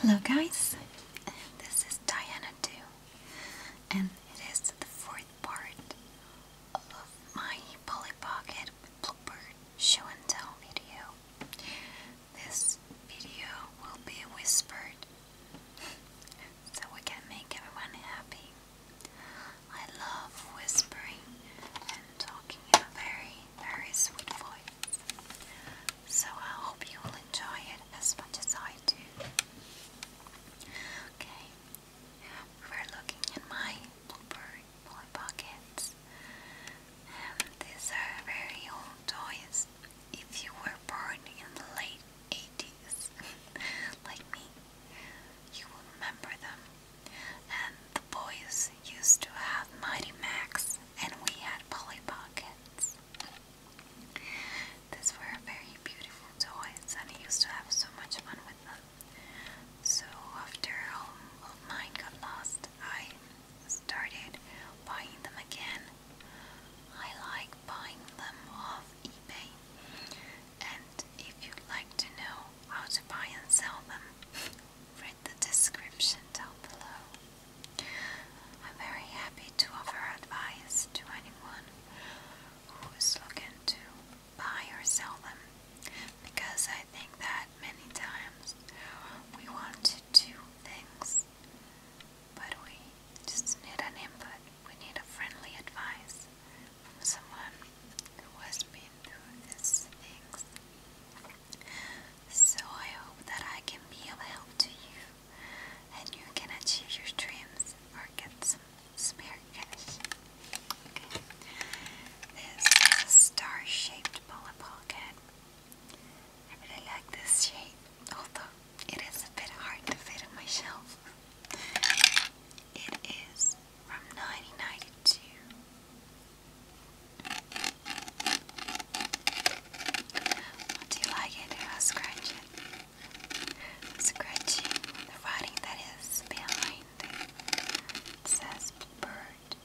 Hello guys, this is Diana too, and it is the fourth part of my Polly Pocket Blooper show and tell video. This video will be whispered so we can make everyone happy. I love whispering and talking very very sweet voice. So I hope you will enjoy it as much as I do. Okay, we're looking in my boy pockets. these are very old toys. If you were born in the late 80s, like me, you will remember them. And the boys used to have Mighty Max and we had Polly Pockets. These were very beautiful toys, and I used to have so much fun with them. So, after all of mine got lost, I started buying them again. I like buying them off eBay, and if you'd like to know how to buy and sell them, Read the description down below. I'm very happy to offer advice to anyone who is looking to buy or sell them because I think that many times we want to do things but we just need an input. We need a friendly advice from someone who has been through this things. So I hope that I can be of help to you and you can achieve your dreams or get some spare cash. Okay. This is a star shaped bullet pocket. I really like this shape, although it is a bit hard to fit on my shelf. It is from 1992 do you like it if I scratch it? scratching the writing that is behind it. says Bird,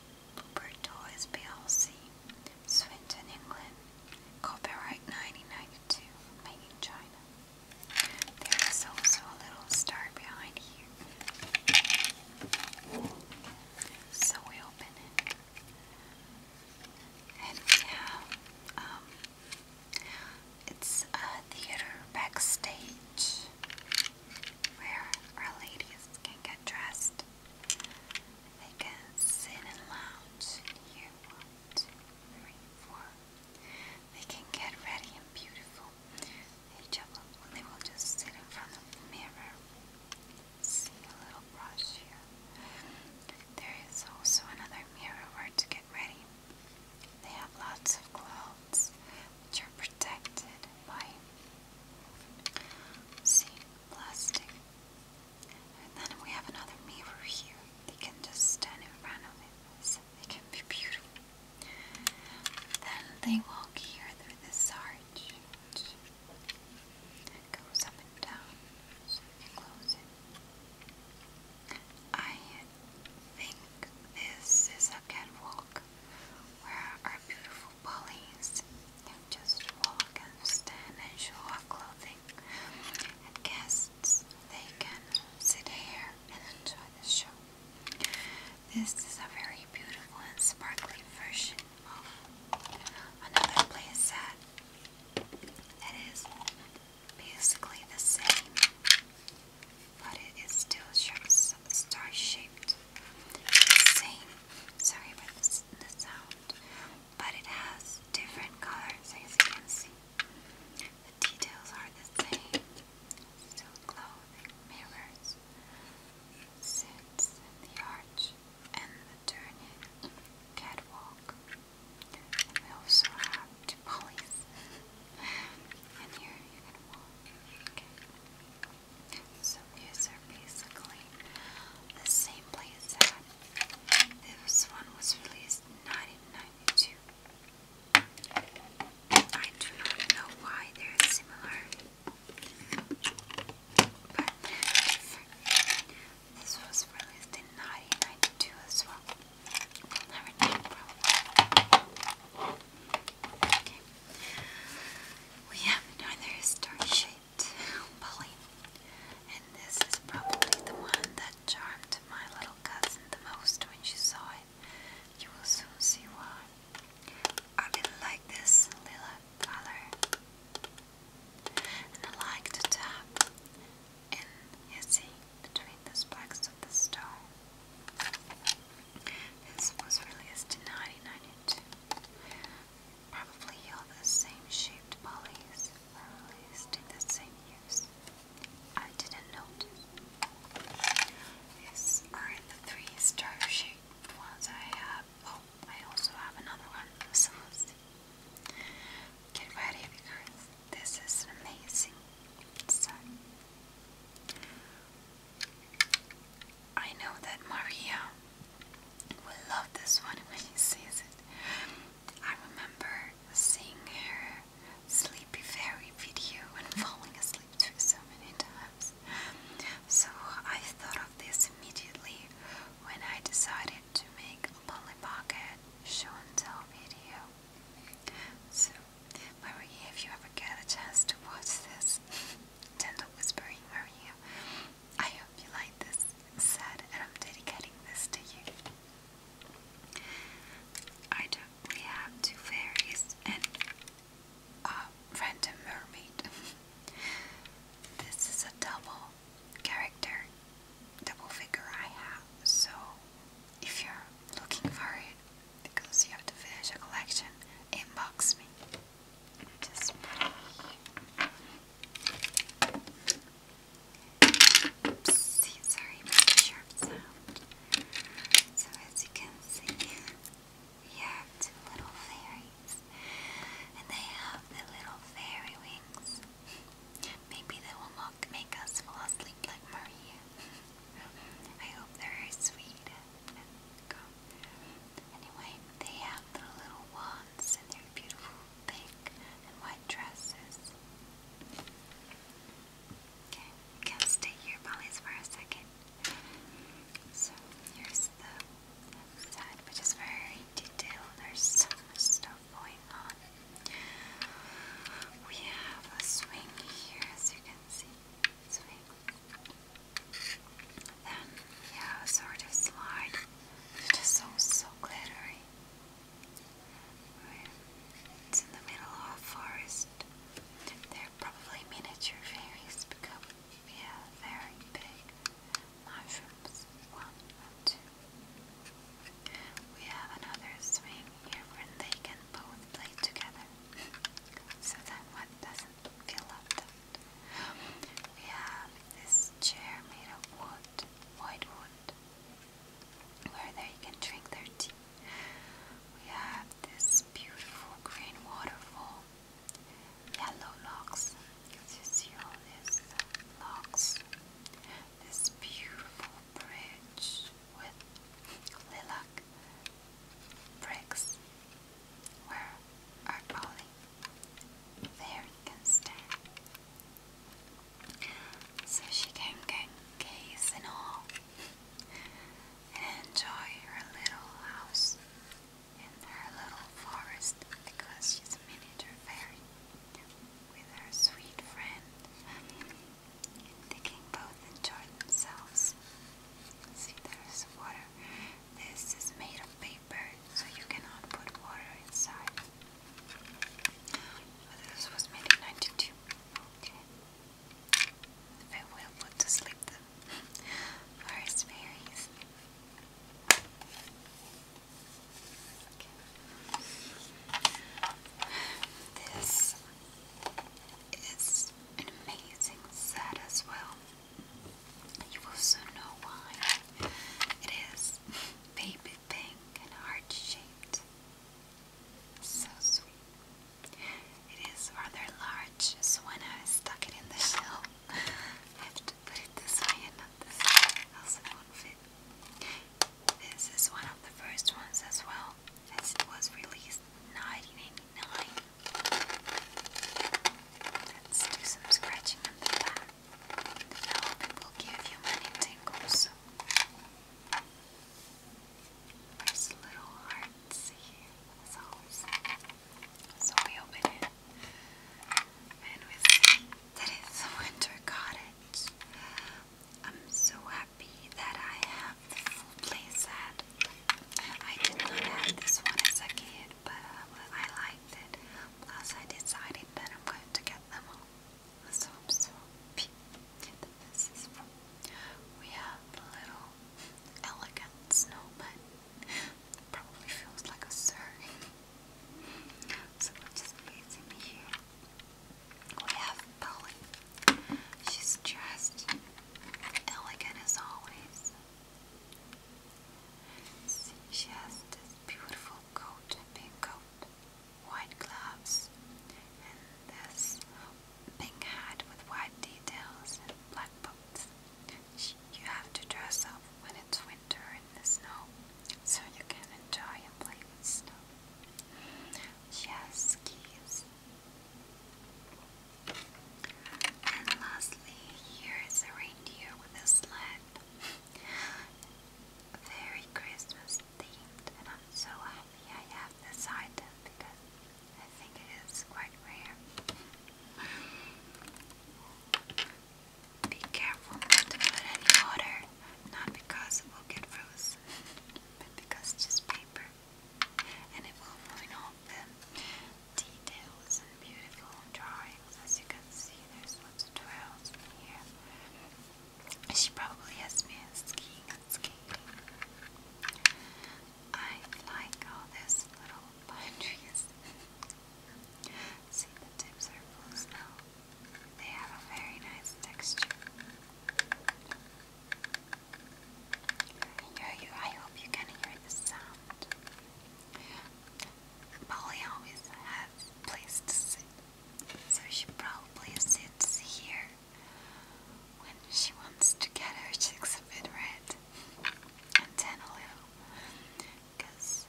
Bird Toys PLC, Swinton, England. Copyright 1992, made in China. There is also a little star behind here. So we open it. And we um, it's a theater backstage where our ladies can get dressed. They can sit and lounge here. One, two, three, four. They can get ready and beautiful. They, just, they will just sit in front of the mirror see a little brush here. There is also another mirror where to get ready. They have lots of clothes which are protected by see plastic. And then we have another mirror here. They can just stand in front of it. So they can be beautiful. Then they walk here through this arch. It goes up and down, so you I think this is a catwalk where our beautiful Pollies can just walk and stand and show our clothing. And guests, they can sit here and enjoy the show. This is a very beautiful and sparkly version of another playset that is basically the same, but it is still star shaped. Same, sorry about the sound, but it has different colors as you can see. The details are the same. Still clothing, mirrors, suits, and the arch and maternity catwalk. we also have the and here you can So these are basically the same place this one was released 1992. I do not know why they're similar. But this was released in 1992 as well. Okay. We have another star shaped pulley. And this is probably the one that charmed my little cousin the most when she saw it. You will soon see why. I really like this lila color and I like to tap in see, between the spikes of the stone. This was released in 1992. Probably all the same shaped pulleys were released in the same use. I didn't notice. These are in the three star shaped ones I have. Oh, I also have another one, Get ready because this is amazing. I know that Maria will love this one when she sees it. I remember seeing her sleepy fairy video and falling asleep to it so many times. So I thought of this immediately when I decided to make a Polly Pocket show and tell video. So, Maria, if you ever get a chance to watch this, gentle whispering Maria, I hope you like this. It's sad, and I'm dedicating this to you. I don't. We have two fairies and a random mermaid. this is a double character double figure I have. So if you're looking for it because you have to finish a collection, inbox me. Just put sorry about sharp sound. So as you can see, we have two little fairies wings. And they have the little fairy wings. Maybe they will not make us fall asleep like Maria. I hope they're sweet. Anyway, they have their little wands and their beautiful pink and white dresses. Okay, you can stay here, Polly's, for a second. So, here's the side, which is very detailed. There's so much stuff going on. We have a swing here, as you can see. Then we a sort of slide, which so, so glittery. It's in the middle of a forest. They're probably miniature fairies because yeah, very big mushrooms. One two. We have another swing here where they can both play together. so that one doesn't feel left We have this chair made of wood, white wood, where they can drink their tea. We have this beautiful green waterfall yellow locks. This is locks. This beautiful bridge with lilac bricks. Where are Ollie? There you can stand. So she can get gaze and all and enjoy her little house in her little forest because she's a miniature fairy with her sweet friend. They can both enjoy themselves. See, there's water. This is made of paper, so you cannot put water inside. But this was made in 92. Okay. It will put to sleep forest fairies. This is amazing set as well. You will know why. It is baby pink and heart shaped. So sweet. It is rather large, so when I stuck it in the shelf, I have it this not this way, else it won't fit. This is one of the first ones as well, it was released 1989. Let's do some scratching on the back. I hope it will give you many tingles. There's little hearts here, as So we open it. And we that it's a winter cottage. I'm so happy that I have this little playset. I did not have this one as a kid, but I liked it. Plus, I decided that I'm going to get them all. So I'm so this is fun. We have a little elegant snowman. Probably feels like a surrey. So we're just placing here. We have Polly. She's dressed elegant as always. See, she has this beautiful coat, pink coat, white gloves, and this pink hat with white details and black boots. You have to dress up when it's winter in the snow so you can enjoy and play with snow. She skis. And lastly, here is a reindeer with a sled. Very Christmas themed, and I'm so happy I have this item because I think it is quite rare. Be careful not to put any water, not because it will get frozen, but because it's just paper and it will ruin all the details and beautiful drawings. As you can see, there's lots of drawings in here. She probably has been skiing skiing. I like all these little pine See, the tips are closed now. They have a very nice texture. Yo, you, I hope you can hear the sound. Polly always has a to sit, so she probably sits here when she wants to get her cheeks a bit red and because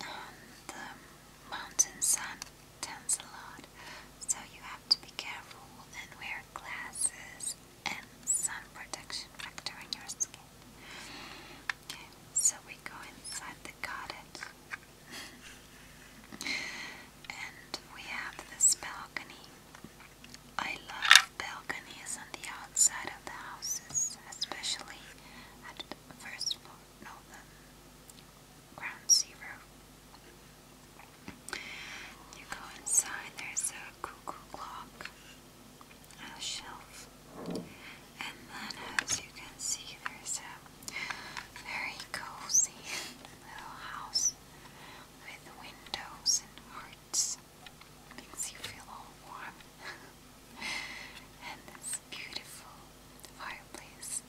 um, the mountain sun tends a lot, so you have to be careful and wear glasses and sun protection factor on your skin. Okay, so we go inside the cottage, and we have this balcony. I love balconies on the outside of the houses, especially at first floor, no, ground zero. You go inside, there's a cuckoo clock, a shelf, and then as you can see, there's a very cozy little house with windows and hearts. Makes you feel all warm. and this beautiful fireplace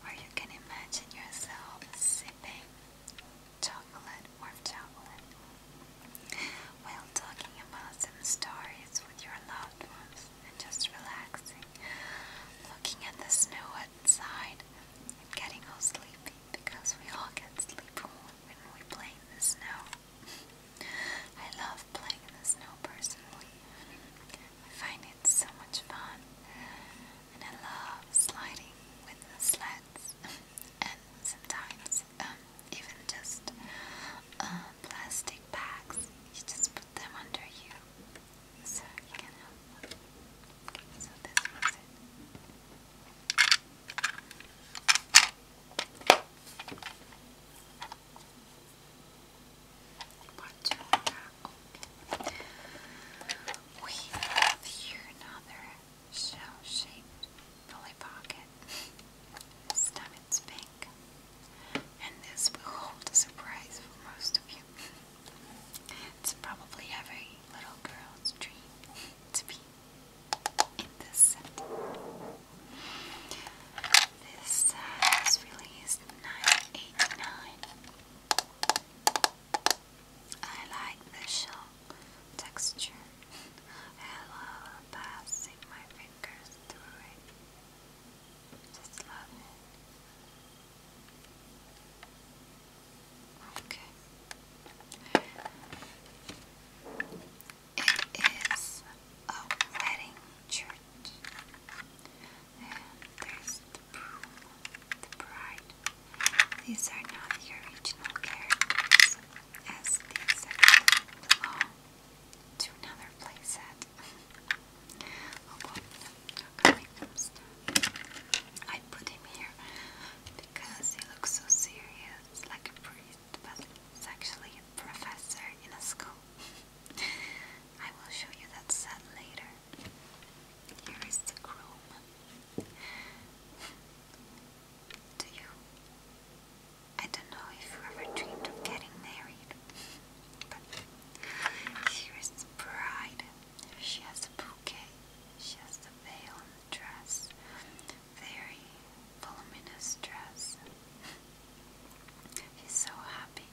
where you can imagine yourself sipping chocolate, warm chocolate, while talking about some stories with your loved ones and just relaxing, looking at the snow outside and getting all sleepy because we all get sleepy when we play in the snow. I love playing in the snow personally. I find it so much fun. And I love sliding with the sleds. and sometimes um, even just uh, plastic bags. You just put them under you. So you can help. Okay, so this was it. But uh, we have here another shell-shaped belly pocket. This time pink. And this will hold a surprise for most of you. It's probably every little girl's dream to be in this set. This uh, released in I like the shell texture. I love passing my fingers through it. Just love it. Okay. It is a wedding church. And there's the broom, the bride. These are not original characters, as these belong to another playset. Oh, I put him here because he looks so serious, like a pretty but he's actually a professor in a school. I will show you that set later. Here is the groom. Do you? I don't know if you ever dreamed of getting married, but here is the bride. She has a bouquet, she has the veil and the dress, very voluminous dress. He's so happy.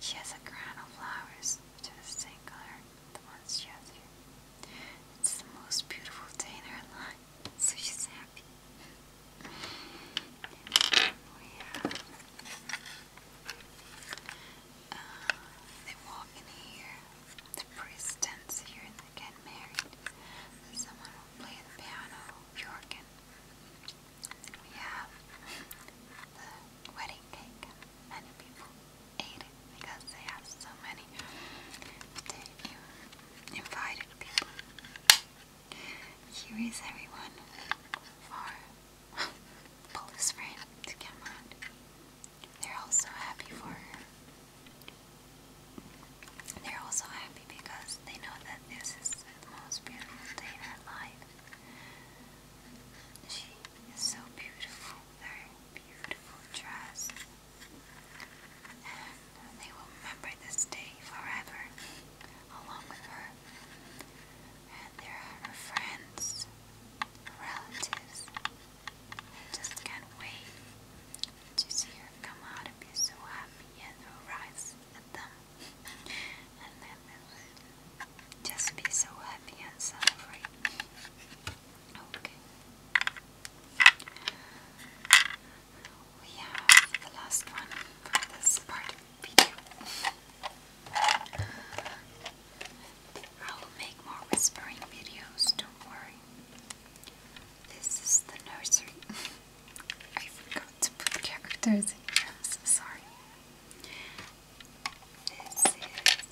She has a crown of flowers, which are the same color the ones she has here. It's the most beautiful day in her life, so she's happy. Uh, they walk in here. The priest stands here and they get married. Someone will play the piano, Jorgen. We have the wedding cake. Many people ate it because they have so many. invited people. Here is everyone for Paula's friend to come They're all so happy for her. They're also happy because they know that this is the most beautiful day in her life. She is so beautiful, very beautiful dress. they will remember this day forever, along with her. And their friends, relatives. I just can't wait to see her come out and be so happy and her rise and then just be so happy and celebrate. Okay. We have the last one for this part of the video. I will make more whispering videos, don't worry. This is the nursery. I forgot to put characters in I'm so sorry. This is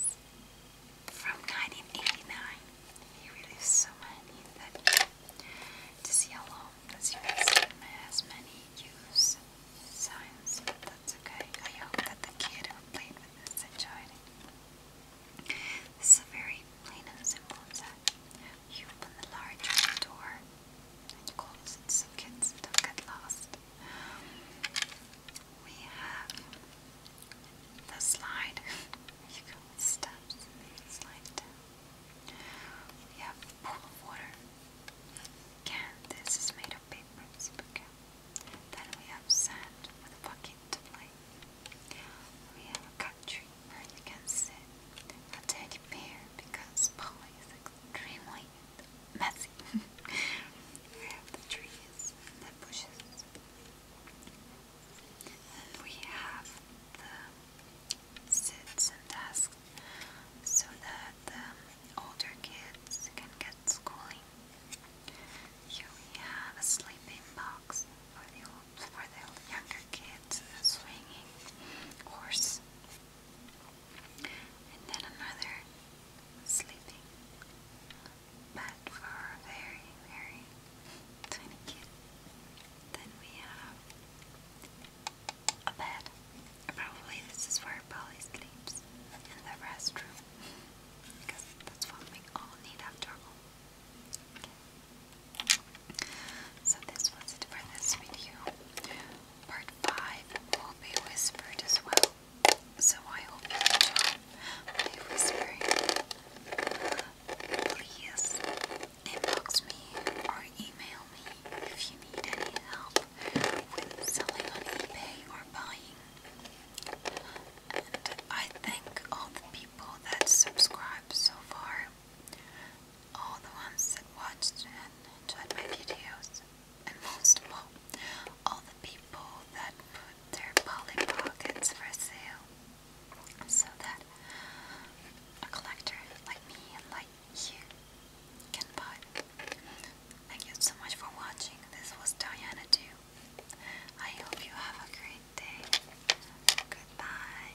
from 1989. He released so many that this yellow, as you can has many use signs, that's okay. I hope that the kid who played with this enjoyed it. This is a very plain and simple set. You open the large door of course, it's so kids don't get lost. We have the slide. you go steps slide down. We have the pool of water. Again, this is made of paper, super Then we have sand with a bucket to play. We have a country where you can sit a teddy bear because Poland is extremely messy. we have the trees and the bushes. And we have the sits and desks so that the older kids can get schooling. Here we have a sleeping box for the, for the younger kids, a swinging horse, and then another sleeping, but for very, very tiny kid. Then we have a bed. Probably this is where Polly sleeps in the restroom because that's what we all need after all. So this was it for this video. Part 5 will be whispered as well. So I hope you enjoy Please inbox me or email me if you need any help with selling on eBay or buying. And I thank all the people that subscribe so far all the ones that watched and enjoyed my videos, and most of all, all the people that put their Polly Pockets for sale, so that a collector like me and like you can buy. Thank you so much for watching. This was Diana Do. I hope you have a great day. Goodbye.